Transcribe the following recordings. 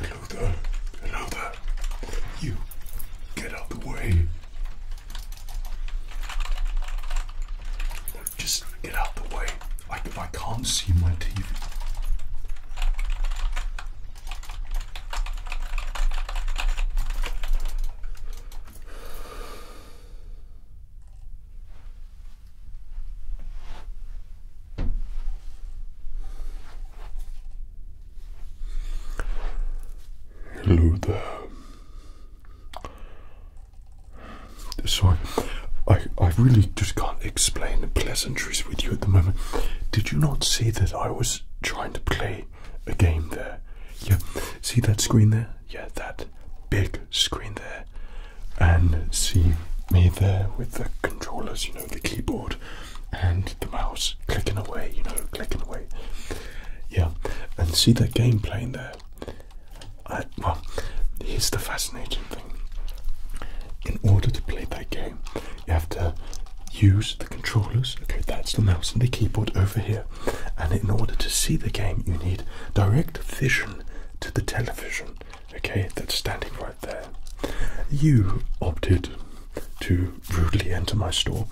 Hello there. Hello there. You get out the way. Just get out the way. I, I can't see my TV. Hello there. So I, I really just can't explain the pleasantries with you at the moment. Did you not see that I was trying to play a game there? Yeah. See that screen there? Yeah, that big screen there. And see me there with the controllers, you know, the keyboard and the mouse clicking away, you know, clicking away. Yeah. And see that game playing there? well, here's the fascinating in order to play that game, you have to use the controllers. Okay, that's the mouse and the keyboard over here. And in order to see the game, you need direct vision to the television. Okay, that's standing right there. You opted to rudely enter my store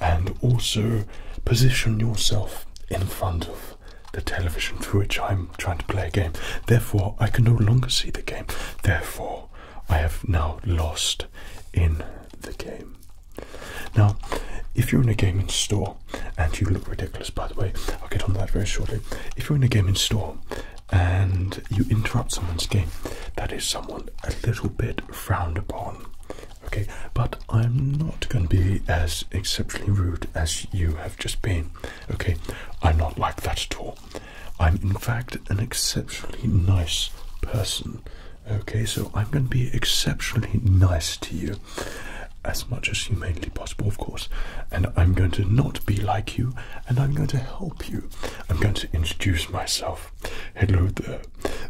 and also position yourself in front of the television through which I'm trying to play a game. Therefore, I can no longer see the game. Therefore, I have now lost in the game. Now, if you're in a game in store, and you look ridiculous by the way, I'll get on that very shortly. If you're in a game in store and you interrupt someone's game, that is someone a little bit frowned upon. Okay, but I'm not going to be as exceptionally rude as you have just been. Okay, I'm not like that at all. I'm, in fact, an exceptionally nice person. Okay, so I'm going to be exceptionally nice to you, as much as humanely possible, of course. And I'm going to not be like you, and I'm going to help you. I'm going to introduce myself. Hello there.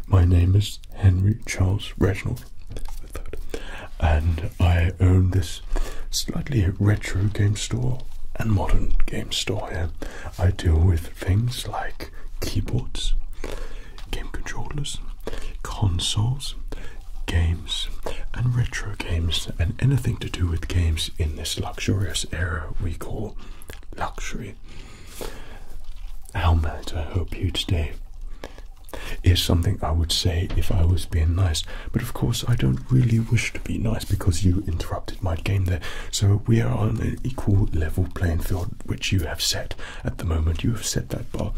My name is Henry Charles Reginald and I own this slightly red. True game store and modern game store here. I deal with things like keyboards, game controllers, consoles, games, and retro games, and anything to do with games in this luxurious era we call luxury. How might I hope you stay Is something I would say if I was being nice, but of course I don't really wish to be nice because you interrupted my game there. So we are on an equal level playing field, which you have set at the moment. You have set that bar.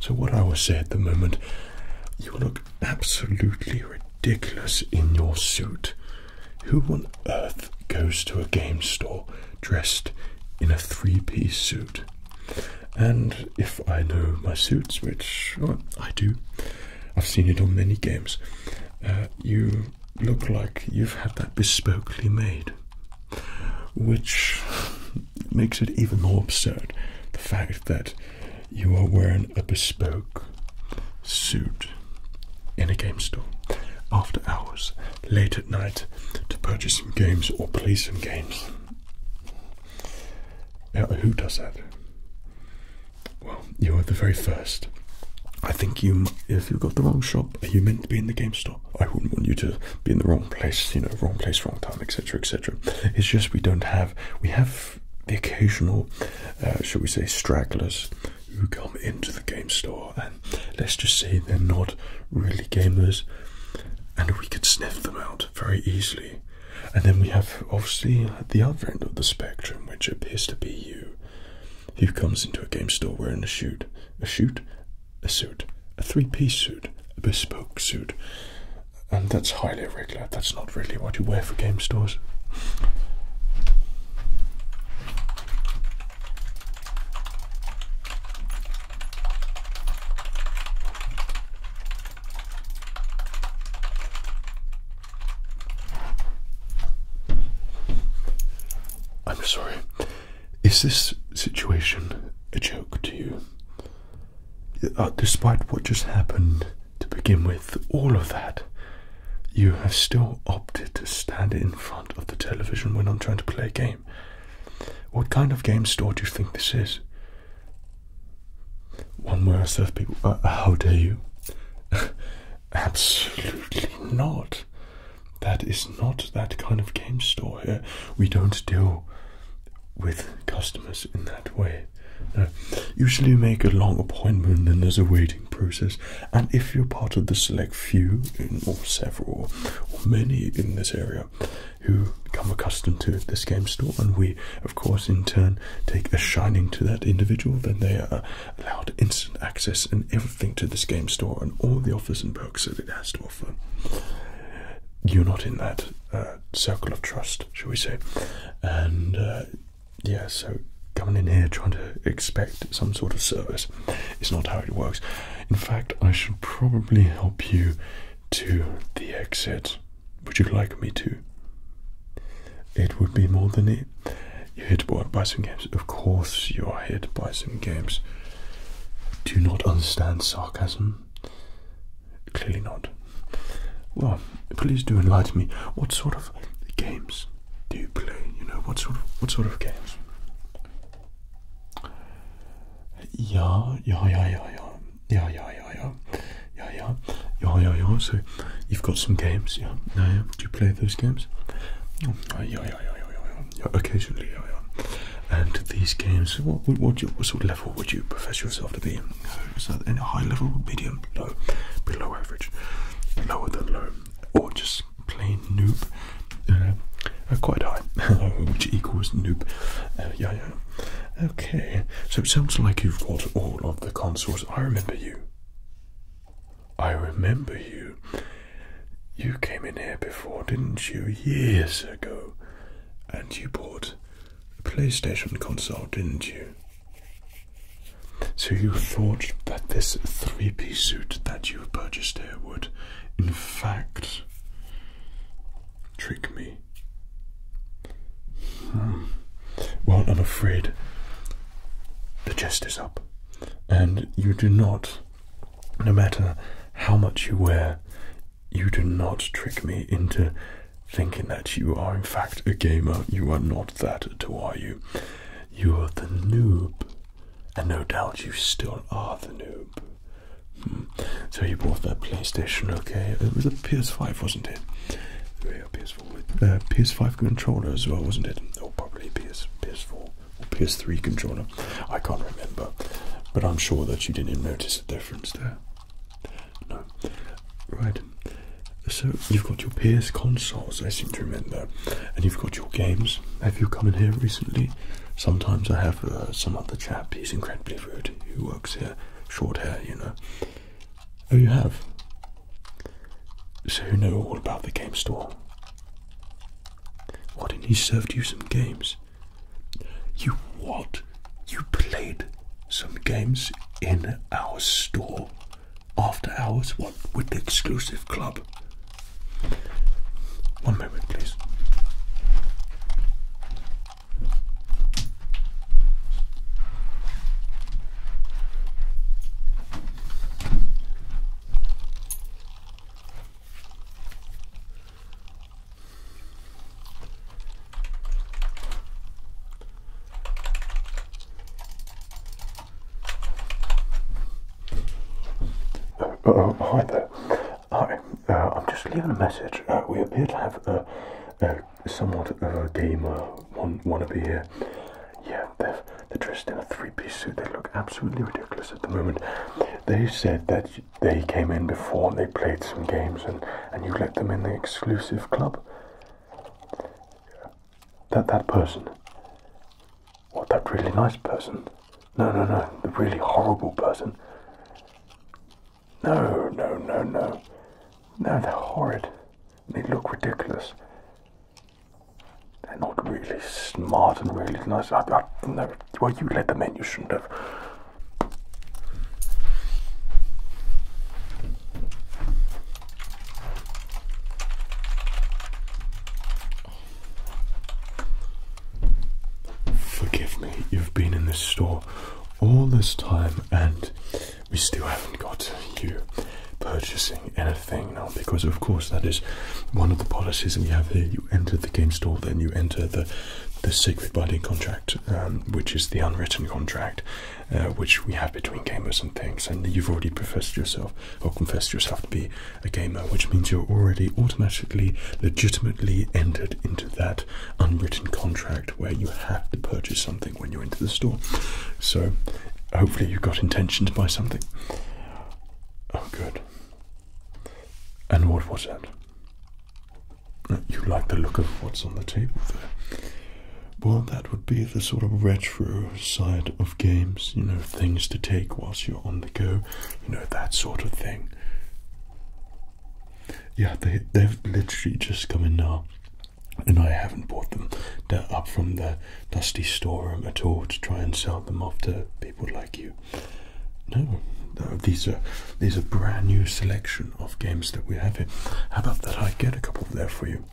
So what I will say at the moment, you look absolutely ridiculous in your suit. Who on earth goes to a game store dressed in a three-piece suit? And if I know my suits, which I do, I've seen it on many games. Uh, you look like you've had that bespokely made, which makes it even more absurd. The fact that you are wearing a bespoke suit in a game store after hours, late at night, to purchase some games or play some games. who does that? Well, you were the very first. I think you, if you got the wrong shop, are you meant to be in the GameStop? I wouldn't want you to be in the wrong place, you know, wrong place, wrong time, etc., etc. It's just we don't have, we have the occasional, uh, shall we say, stragglers who come into the game store and let's just say they're not really gamers and we could sniff them out very easily. And then we have obviously the other end of the spectrum, which appears to be he comes into a game store wearing a suit, a suit, a suit, a three-piece suit, a bespoke suit, and that's highly irregular. That's not really what you wear for game stores. I'm sorry. Is this situation a joke to you? Uh, despite what just happened to begin with, all of that, you have still opted to stand in front of the television when I'm trying to play a game. What kind of game store do you think this is? One where I serve people. Uh, how dare you? Absolutely not. That is not that kind of game store here. We don't deal with customers in that way. No. Usually you make a long appointment and there's a waiting process. And if you're part of the select few, or several, or many in this area, who become accustomed to this game store, and we, of course, in turn, take a shining to that individual, then they are allowed instant access and everything to this game store and all the offers and perks that it has to offer. You're not in that uh, circle of trust, shall we say? And uh, yeah, so coming in here trying to expect some sort of service it's not how it works. In fact, I should probably help you to the exit. Would you like me to? it would be more than it. You're here to buy some games. Of course, you are here to buy some games. Do you not understand sarcasm? Clearly not. Well, please do enlighten me. What sort of games do you play? You know, what sort of what sort of games? Yeah, yeah, yeah, yeah, yeah, yeah, yeah, yeah. Yeah, yeah, yeah, yeah, yeah. So you've got some games, yeah, yeah, yeah. Do you play those games? Oh, yeah, yeah, yeah, yeah, yeah, yeah. Occasionally, yeah, yeah. And these games, what, what, sort of level would you profess yourself to be? So is that in a high level, medium, low, below average, lower than low, or just plain noob? Uh, uh, quite high, uh, which equals noob. yeah, yeah. Okay, so it sounds like you've got all of the consoles. I remember you. I remember you. You came in here before, didn't you? Years ago. And you bought a PlayStation console, didn't you? So you thought that this three piece suit that you purchased here would, in fact, trick me. Hmm. Well, I'm afraid the chest is up, and you do not, no matter how much you wear, you do not trick me into thinking that you are, in fact, a gamer. You are not that at are you? You are the noob, and no doubt you still are the noob. Hmm. So you bought that PlayStation, okay? It was a PS5, wasn't it? Yeah, PS5 ps with uh, PS5 controller as well, wasn't it? Or probably PS PS4 or PS3 controller. I can't remember, but I'm sure that you didn't notice the difference there. No, right. So you've got your PS consoles, I seem to remember, and you've got your games. Have you come in here recently? Sometimes I have uh, some other chap. He's incredibly rude. He works here? Short hair, you know. Oh, you have so you know all about the game store. Why didn't he serve you some games? You what? You played some games in our store after hours? What with the exclusive club? One moment, please. Uh, oh, hi there. Hi, uh, I'm just leaving a message. Uh, we appear to have a somewhat of a gamer one wannabe here. Uh, yeah, they're, they're dressed in a three-piece suit. They look absolutely ridiculous at the moment. They said that they came in before and they played some games, and and you let them in the exclusive club. That that person. What that really nice person? No, no, no, the really horrible person. No, no, no, no. No, they're horrid. They look ridiculous. They're not really smart and really nice. I, I, no, well, you let them in. You shouldn't have. Forgive me. You've been in this store all this time and we still haven't got you purchasing anything now because of course that is one of the policies that we have here you enter the game store then you enter the the sacred binding contract um, which is the unwritten contract uh, which we have between gamers and things and you've already professed yourself or confessed yourself to be a gamer which means you're already automatically legitimately entered into that unwritten contract where you have to purchase something when you enter the store. So hopefully you've got intention to buy something. Oh, good. And what was that? Uh, you like the look of what's on the table there. Well, that would be the sort of retro side of games, you know, things to take whilst you're on the go, you know, that sort of thing. Yeah, they've literally just come in now and I haven't bought them. they up from the dusty storeroom at all to try and sell them off to people like you. No, these are these are brand new selection of games that we have here. How about that I get a couple there for you?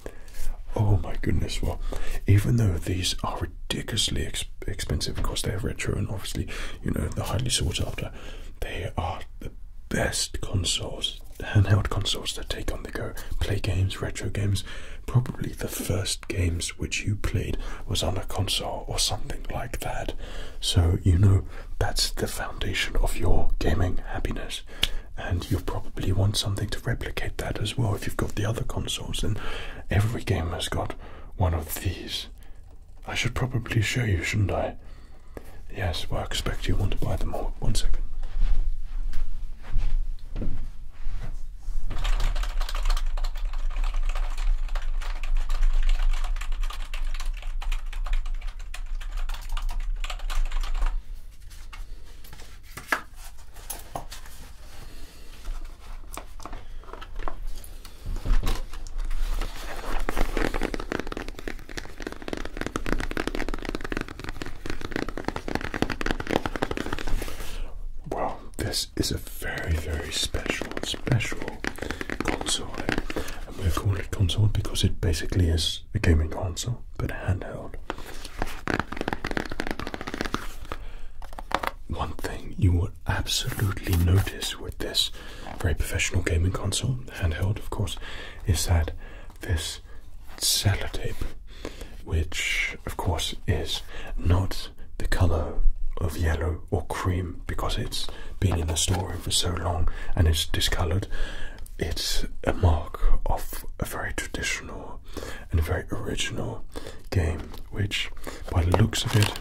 Oh my goodness, well, even though these are ridiculously expensive, of course they're retro and obviously, you know, they're highly sought after, they are best consoles, handheld consoles that take on the go, play games, retro games. Probably the first games which you played was on a console or something like that. So, you know, that's the foundation of your gaming happiness. And you probably want something to replicate that as well. If you've got the other consoles, then every game has got one of these. I should probably show you, shouldn't I? Yes, well, I expect you want to buy them all. One second. Well, this is a very, very special, special console. And we call calling it console because it basically is a gaming console, but handheld. One thing you will absolutely notice with this very professional gaming console, handheld of course, is that this sellotape, which of course is not the color of yellow or cream because it's been in the storeroom for so long and it's discolored. It's a mark of a very traditional and very original game, which, by the looks of it,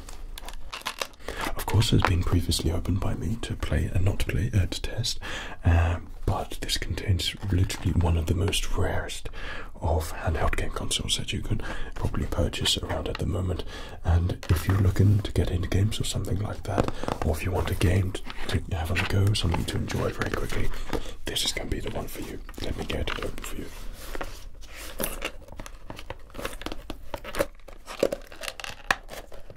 of course, has been previously opened by me to play and not play uh, to test, um, but this contains literally one of the most rarest of handheld game consoles that you can probably purchase around at the moment. And if you're looking to get into games or something like that, or if you want a game to, have a the go, something to enjoy very quickly, this is going to be the one for you. Let me get it open for you.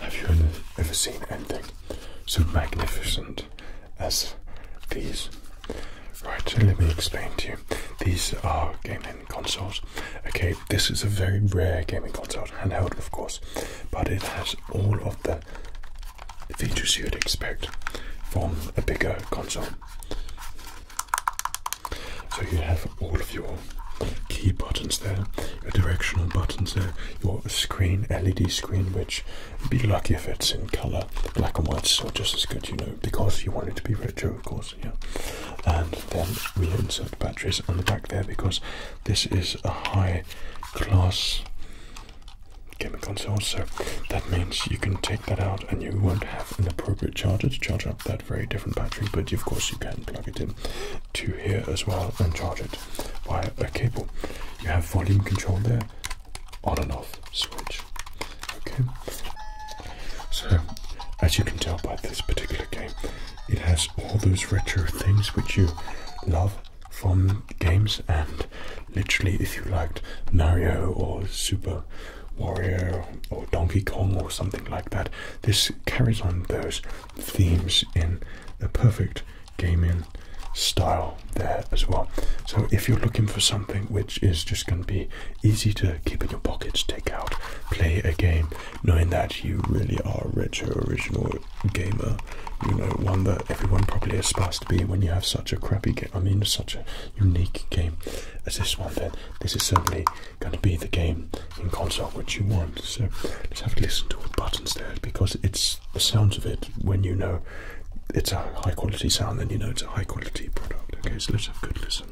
Have you ever seen anything so magnificent as these. Right, so let me explain to you. These are gaming consoles. Okay, this is a very rare gaming console, handheld of course, but it has all of the features you'd expect from a bigger console. So you have all of your key buttons there a directional button, so your screen, LED screen, which be lucky if it's in color, black and white's just as good, you know, because you want it to be retro, of course, yeah. And then we insert batteries on the back there because this is a high class gaming console, so that means you can take that out and you won't have an appropriate charger to charge up that very different battery, but of course you can plug it in to here as well and charge it via a cable. You have volume control there, on and off switch. Okay. So, as you can tell by this particular game, it has all those retro things which you love from games, and literally, if you liked Mario or Super Warrior or Donkey Kong or something like that, this carries on those themes in a perfect gaming style there as well. So if you're looking for something which is just going to be easy to keep in your pockets, take out, play a game, knowing that you really are a retro original gamer, you know, one that everyone probably aspires to be when you have such a crappy game, I mean such a unique game as this one, then this is certainly going to be the game in concert what you want. So just have to listen to all the buttons there because it's the sounds of it when you know it's a high quality sound, then you know it's a high quality product. Okay, so let's have a good listen.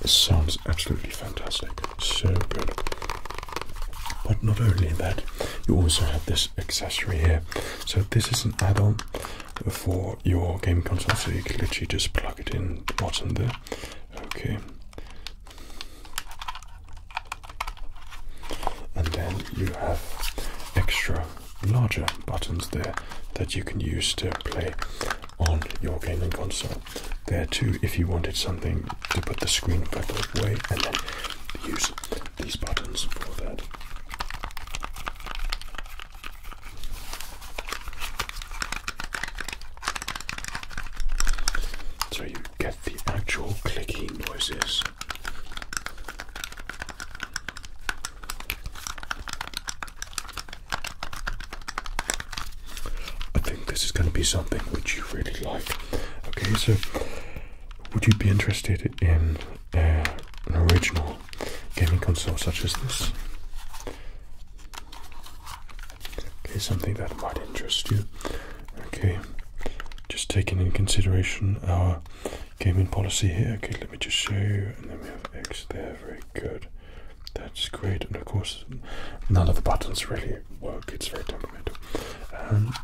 This sounds absolutely fantastic, so good. But not only that, you also have this accessory here. So this is an add-on for your game console, so you can literally just plug it in the bottom there. Okay, and then you have extra larger buttons there that you can use to play on your gaming console. There too, if you wanted something to put the screen further away, and then use these buttons for that. So you get the actual clicky noises I think this is going to be something which you really like. Okay, so would you be interested in uh, an original gaming console such as this? Okay, something that might interest you. Okay, just taking in consideration our gaming policy here. Okay, let me just show you, and then we have X there. Very good. That's great. And of course, none of the buttons really work. It's very temperamental. Um,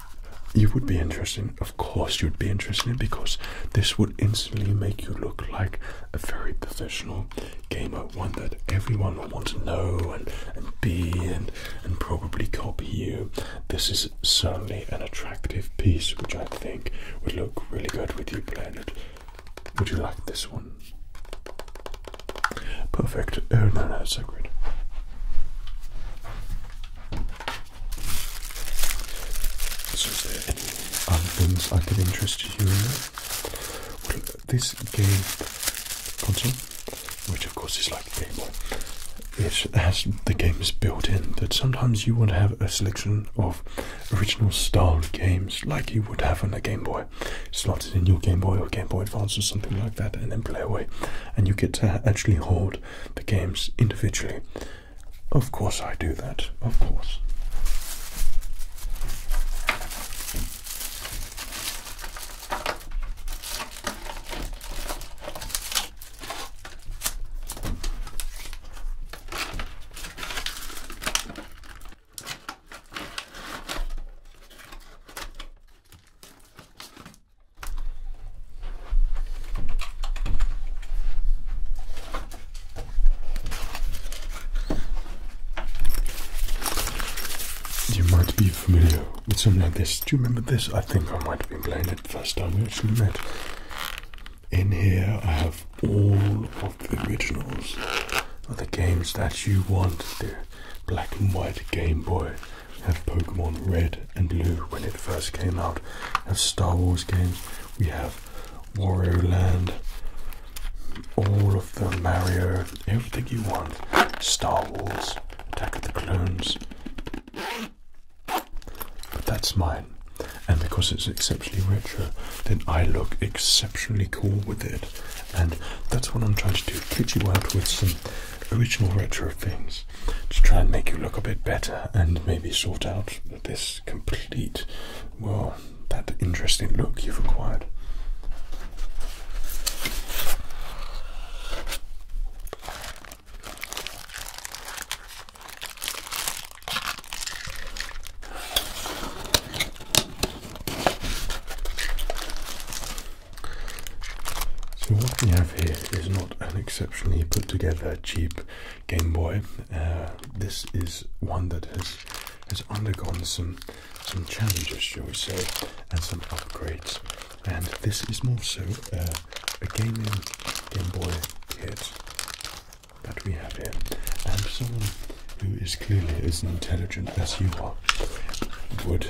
you would be interested, of course, you'd be interested because this would instantly make you look like a very professional gamer, one that everyone would want to know and, and be and, and probably copy you this is certainly an attractive piece which I think would look really good with you, Leonard. Would you like this one? Perfect. Oh, no, no, it's so good. is there any other things I could interest you in? this game console which of course is like Game Boy, it has the games built in that sometimes you want to have a selection of original style games like you would have on a Game Boy, slotted in your Game Boy or Game Boy Advance or something like that, and then play away. And you get to actually hold the games individually. Of course, I do that, of course. You might be familiar with something like this. Do you remember this? I think I might have been playing it the first time we actually met. In here, I have all of the originals of the games that you want. The black and white Game Boy. We have Pokemon Red and Blue when it first came out. We have Star Wars games. We have Wario Land. All of the Mario, everything you want. Star Wars, Attack of the Clones. But that's mine. And because it's exceptionally retro, then I look exceptionally cool with it. And that's what I'm trying to do treat you out with some original retro things to try and make you look a bit better and maybe sort out this complete, well, that interesting look you've acquired. So what we have here is not an exceptionally put together cheap Game Boy. Uh, this is one that has has undergone some some challenges, shall we say, and some upgrades and this is more so uh, a gaming Game Boy kit that we have here, and someone who is clearly as intelligent as you are would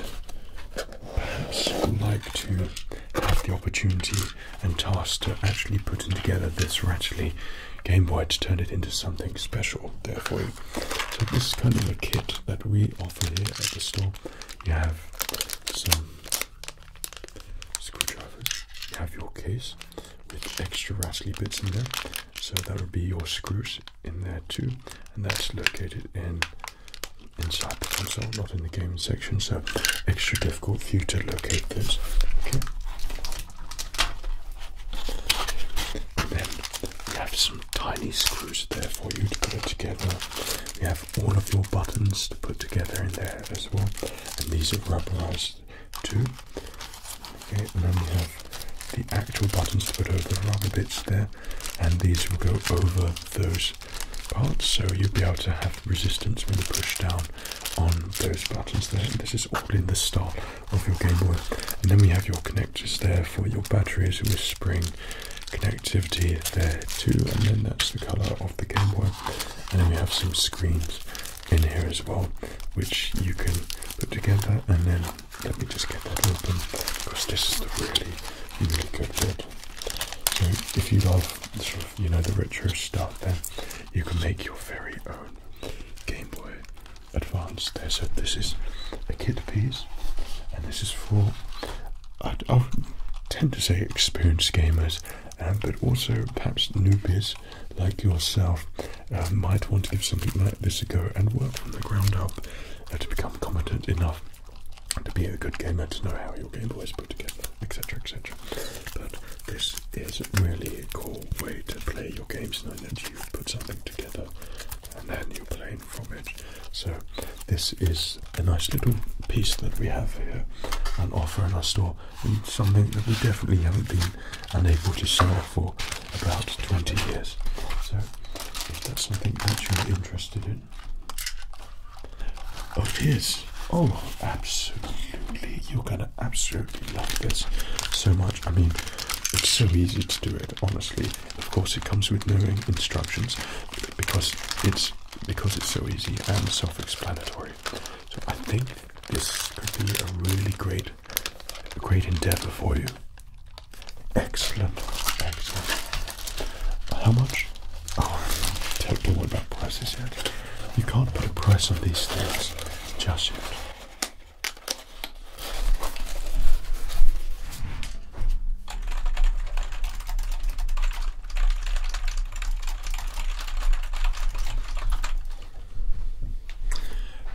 perhaps like to have the opportunity and task to actually putting together this Ratchley Game Boy to turn it into something special there for you. So this is kind of a kit that we offer here at the store. You have some screwdrivers. You have your case with extra rattly bits in there. So that would be your screws in there too, and that's located in inside the console, not in the gaming section. So extra difficult for you to locate those. Okay. then we have some tiny screws there for you to put it together. We have all of your buttons to put together in there as well. And these are rubberized too. Okay, and then we have the actual buttons to put over the rubber bits there, and these will go over those parts, so you'll be able to have resistance when you push down on those buttons there. this is all in the style of your Game Boy. And then we have your connectors there for your batteries and with spring connectivity there too, and then that's the color of the Game Boy. And then we have some screens in here as well, which you can put together. And then let me just get that open because this is the really, really good bit. So if you love sort of you know the retro stuff, then you can make your very own Game Boy Advance. There, so this is a kit piece, and this is for I, I tend to say experienced gamers, um, but also perhaps newbies like yourself um, might want to give something like this a go and work from the ground up uh, to become competent enough to be a good gamer, to know how your Game Boy is put together, etc. etc. But this is really a cool way to play your games now that you've put something together and then you're from it. So, this is a nice little piece that we have here and offer in our store, and something that we definitely haven't been unable to sell for about 20 years. So, if that's something that you're interested in, oh, it is. Oh, absolutely. You're going to absolutely love this so much. I mean, it's so easy to do it, honestly. Of course, it comes with knowing instructions because it's because it's so easy and self-explanatory. So I think this could be a really great, great endeavor for you. Excellent, excellent. How much? Oh, don't about prices yet. You can't put a price on these things just yet.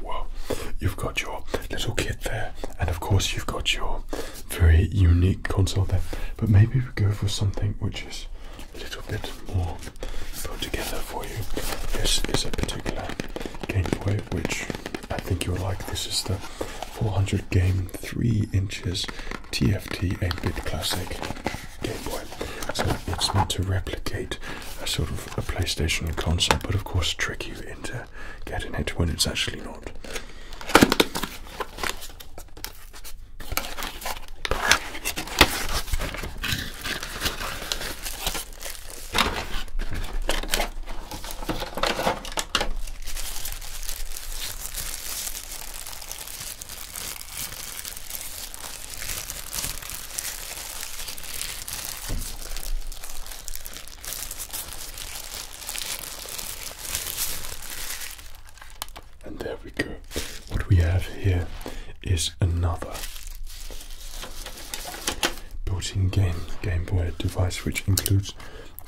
Well, you've got your little kit there, and of course, you've got your very unique console there. But maybe we go for something which is a little bit more put together for you. This is a particular gameplay which I think you'll like. This is the 400 game, 3 inches TFT 8 bit classic Game Boy. So it's meant to replicate a sort of a PlayStation concept, but of course, trick you into getting it when it's actually not. And there we go. What we have here is another built-in game Game Boy device which includes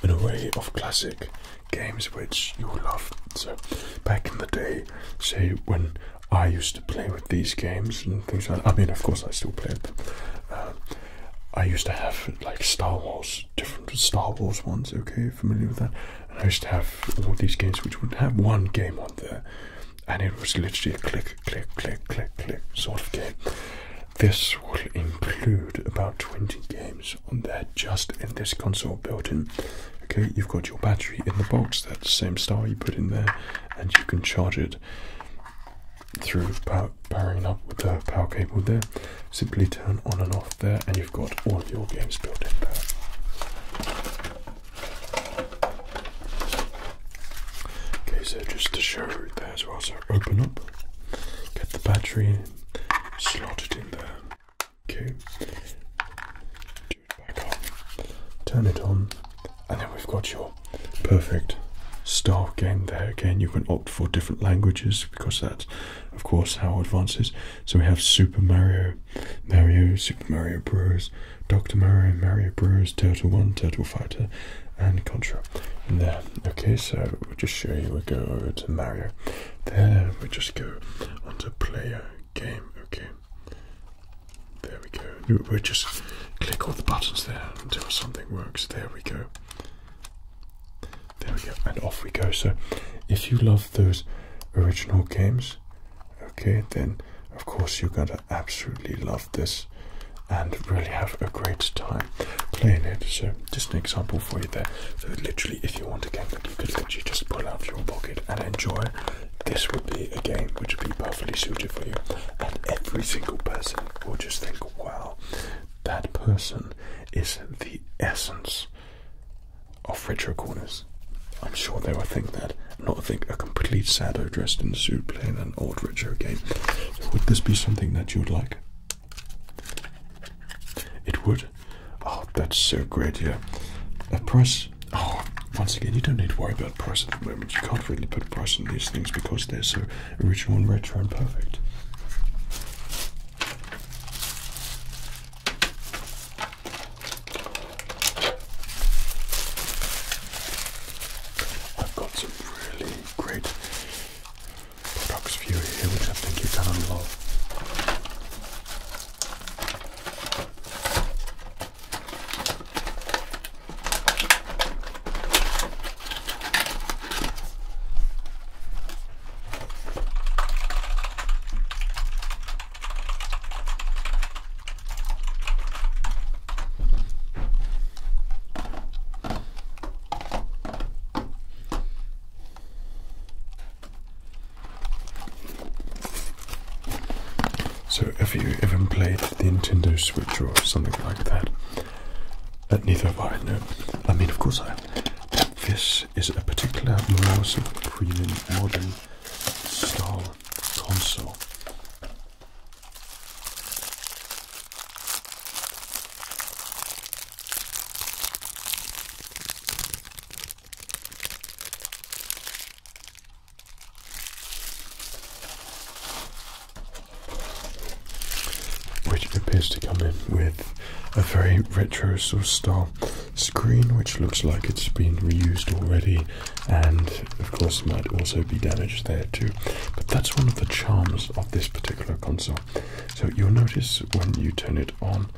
an array of classic games which you loved, So, back in the day, say when I used to play with these games and things like that, I mean, of course, I still play them. Uh, I used to have like Star Wars, different Star Wars ones, okay, familiar with that? I used to have all these games which would have one game on there, and it was literally a click, click, click, click, click sort of game. This will include about 20 games on there just in this console built-in. Okay, you've got your battery in the box, that same star you put in there, and you can charge it through powering up with the power cable there. Simply turn on and off there, and you've got all of your games built in there. Okay, so just to show you there as well, so open up, get the battery Slot it in there. Okay. Turn it on. And then we've got your perfect star game there. Again, you can opt for different languages because that's, of course, how it advances. So we have Super Mario, Mario, Super Mario Bros., Dr. Mario, Mario Bros., Turtle 1, Turtle Fighter, and Contra there. Okay, so just show you. we go to Mario. There we just go onto player game. Okay. There we go. we just click all the buttons there until something works. There we go. There we go. And off we go. So if you love those original games, okay, then of course you're going to absolutely love this and really have a great time playing it. So just an example for you there. So literally, if you want a game that you could literally just pull out of your pocket and enjoy, this would be a game which would be perfectly suited for you. And every single person will just think, wow, that person is the essence of retro corners. I'm sure they will think that, not think a complete sado dressed in a suit playing an old retro game. would this be something that you would like? It would. Oh, that's so great, yeah. A price. Oh, once again, you don't need to worry about price at the moment. You can't really put a price on these things because they're so original and retro and perfect. I've got some really great products for you here, which I think you can unlock. So, have you ever played the Nintendo Switch or something like that? Uh, neither have I, no. I mean, of course I This is a particular mouse premium modern style console. Which appears to come in with a very retro style screen, which looks like it's been reused already, and of course might also be damaged there too. But that's one of the charms of this particular console. So you'll notice when you turn it on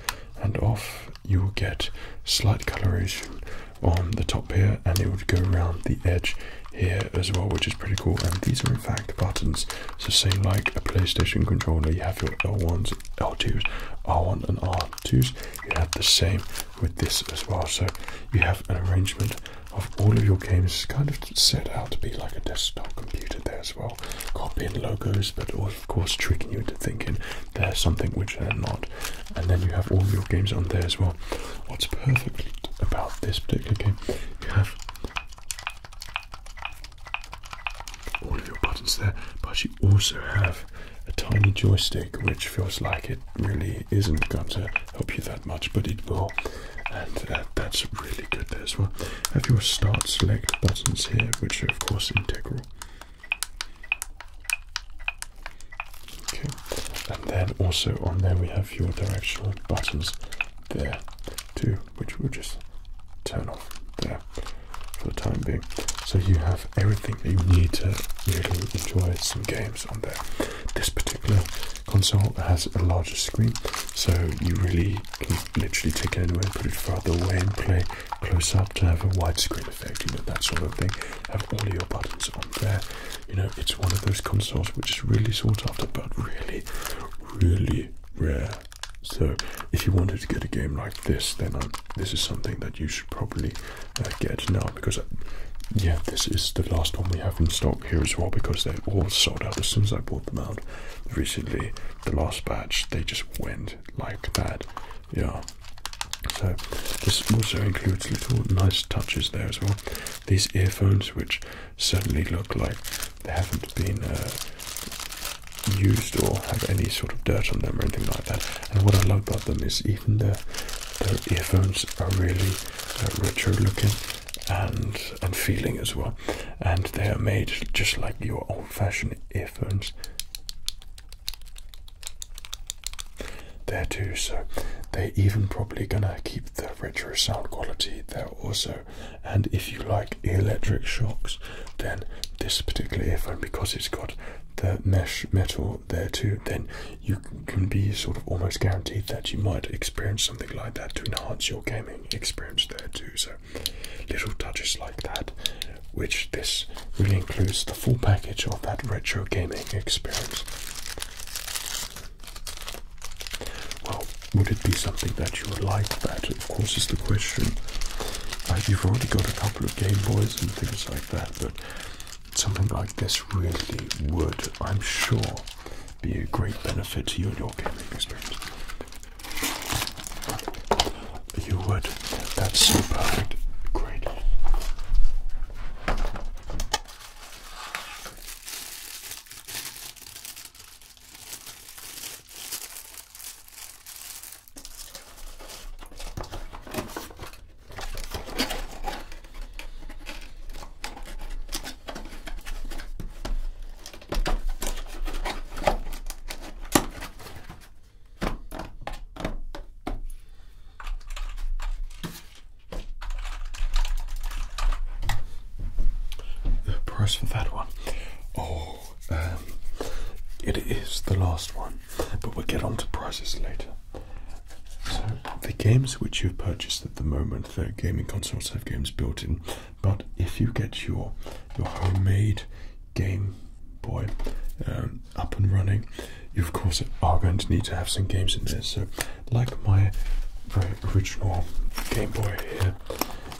and off, you will get slight coloration on the top here and it would go around the edge here as well which is pretty cool and these are in fact buttons so say like a playstation controller you have your l1s l2s r1 and r2s you have the same with this as well so you have an arrangement of all of your games kind of set out to be like a desktop computer there as well, copying logos, but of course tricking you into thinking they're something which they're not. And then you have all your games on there as well. What's perfect about this particular game, you have all of your buttons there, but you also have a tiny joystick which feels like it really isn't going to help you that much, but it will and uh, that's really good there as well. Have your start select buttons here, which are of course integral. Okay, and then also on there we have your directional buttons there too, which we'll just turn off there for the time being. So you have everything that you need to really enjoy some games on there. This particular console has a larger screen, so you really can literally take it anywhere, put it further away and play close up to have a widescreen effect, you know, that sort of thing. Have all your buttons on there. You know, it's one of those consoles which is really sought after, but really, really rare. So if you wanted to get a game like this, then um, this is something that you should probably uh, get now because, uh, yeah, this is the last one we have in stock here as well because they all sold out as soon as I bought them out recently, the last batch, they just went like that. Yeah. So this also includes little nice touches there as well. These earphones, which certainly look like they haven't been uh, used or have any sort of dirt on them or anything like that. And what I love about them is even the their earphones are really uh, retro looking and and feeling as well. And they are made just like your old-fashioned earphones. There too, so they're even probably gonna keep the retro sound quality there also. And if you like electric shocks, then this particular earphone, because it's got the mesh metal there too, then you can be sort of almost guaranteed that you might experience something like that to enhance your gaming experience there too. So little touches like that, which this really includes the full package of that retro gaming experience. Well, would it be something that you would like? That, of course, is the question. Like you've already got a couple of Game Boys and things like that, but something like this really would, I'm sure, be a great benefit to you and your gaming experience. You would. That's so perfect. Great. The price for that one. Oh, um, it is the last one, but we'll get on to prices later. So the games which you've purchased at the moment, the gaming consoles have games built in, but if you get your your homemade Game Boy um, up and running, you of course are going to need to have some games in there. So, like my very original Game Boy here,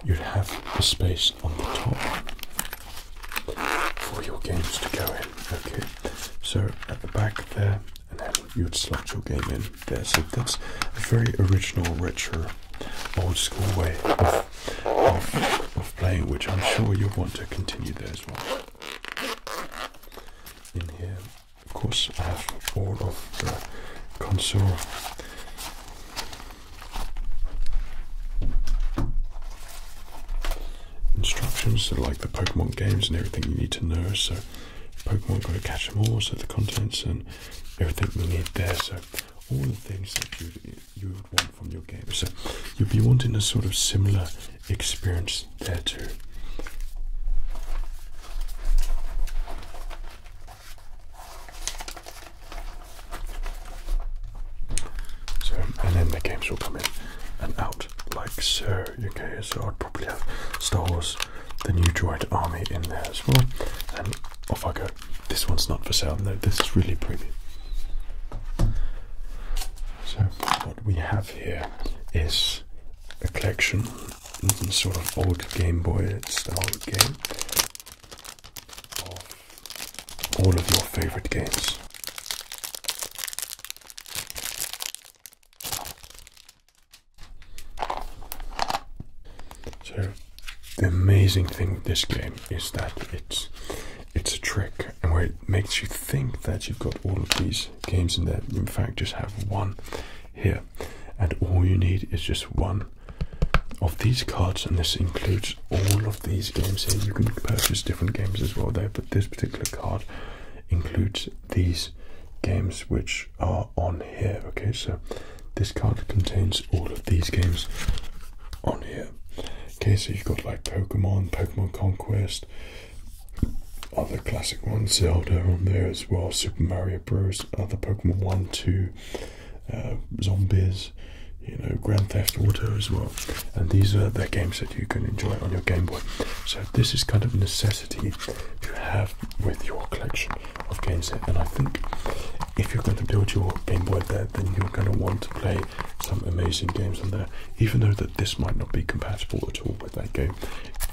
you'd have a space on the top for your games to go in. Okay, so at the back there, and then you'd slot your game in that. So that's a very original, richer, old school way of, of, playing, which I'm sure you'll want to continue there as well. In here, of course, I have all of the console instructions, like the Pokemon games and everything you need to know. So Pokemon got to catch them all, so the contents and everything we need there. So all the things that you would want from your game. So you'd be wanting a sort of similar experience there too. So and then the games will come in and out like so. Okay, so I'd probably have Star Wars, the New Droid Army in there as well, off I go. This one's not for sale, no, this is really premium. So, what we have here is a collection, sort of old Game Boy style game of all of your favorite games. So the amazing thing with this game is that it's it's a trick and where it makes you think that you've got all of these games in there. in fact just have one here. And all you need is just one of these cards and this includes all of these games here. You can purchase different games as well there, but this particular card includes these games which are on here. Okay, so this card contains all of these games on here. Okay, so you've got like Pokemon, Pokemon Conquest, other classic ones, Zelda on there as well, Super Mario Bros, other Pokemon 1, 2, uh, Zombies, you know, Grand Theft Auto as well. And these are the games that you can enjoy on your Game Boy. So this is kind of necessity to have with your collection of games here, and I think if you're going to build your Game Boy there, then you're going to want to play some amazing games on there. Even though that this might not be compatible at all with that game,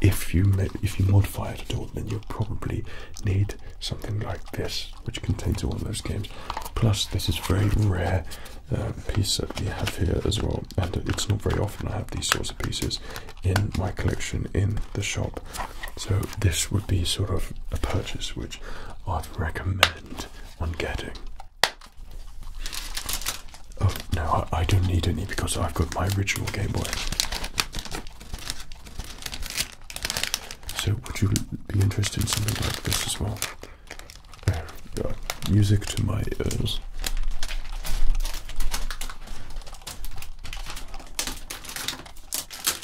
if you if you modify it at all, then you'll probably need something like this, which contains one of those games. Plus, this is very rare. Uh, piece that we have here as well, and it's not very often I have these sorts of pieces in my collection in the shop. So this would be sort of a purchase which I'd recommend on getting. Oh no, I, don't need any because I've got my original Game Boy. So would you be interested in something like this as well? Uh, uh music to my ears.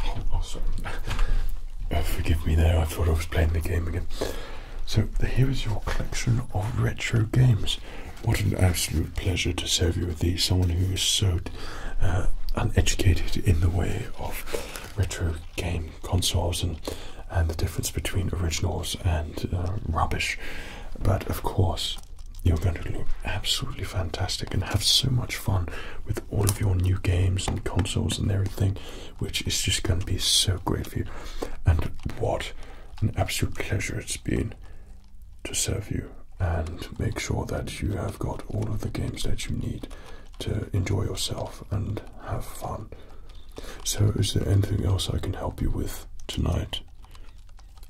Oh, sorry. Uh, forgive me there, I thought I was playing the game again. So here is your collection of retro games. What an absolute pleasure to serve you with these. Someone who is so uh, uneducated in the way of retro game consoles and and the difference between originals and uh, rubbish. But of course, you're going to look absolutely fantastic and have so much fun with all of your new games and consoles and everything, which is just going to be so great for you. And what an absolute pleasure it's been to serve you and make sure that you have got all of the games that you need to enjoy yourself and have fun. So, is there anything else I can help you with tonight?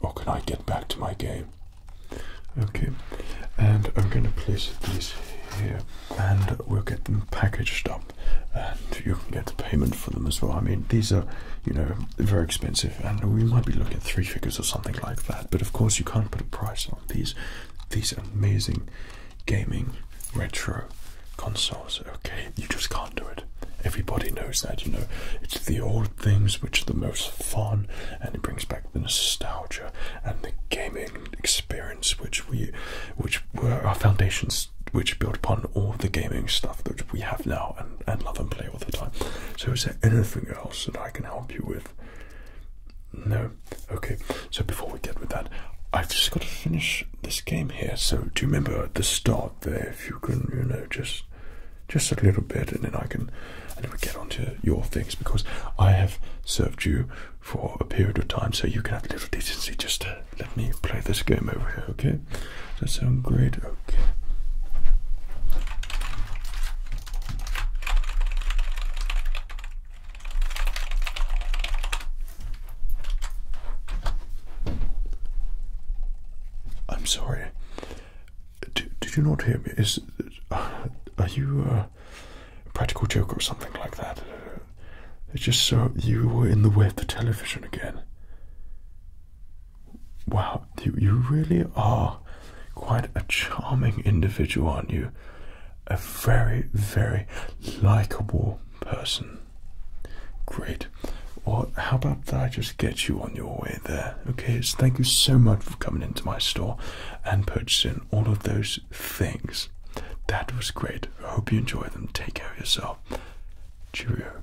Or can I get back to my game? Okay, and I'm going to place these here and we'll get them packaged up and you can get the payment for them as well. I mean, these are, you know, very expensive and we might be looking at three figures or something like that, but of course you can't put a price these these amazing gaming retro consoles. Okay, you just can't do it. Everybody knows that, you know. It's the old things which are the most fun and it brings back the nostalgia and the gaming experience which we which were our foundations which built upon all the gaming stuff that we have now and, and love and play all the time. So is there anything else that I can help you with? No? Okay, so before we get with that, I've just got to finish this game here. So do you remember the start there, if you can, you know, just just a little bit and then I can and then we get on to your things because I have served you for a period of time so you can have a little decency just to let me play this game over here, okay? Does that sound great? Okay. I'm sorry. Did, did you not hear me? Is uh, are you a practical joke or something like that? It's just so you were in the way of the television again. Wow, you you really are quite a charming individual, aren't you? A very, very likable person. Great. Well, how about that I just get you on your way there? Okay, so thank you so much for coming into my store and purchasing all of those things. That was great. I hope you enjoy them. Take care of yourself. Cheerio.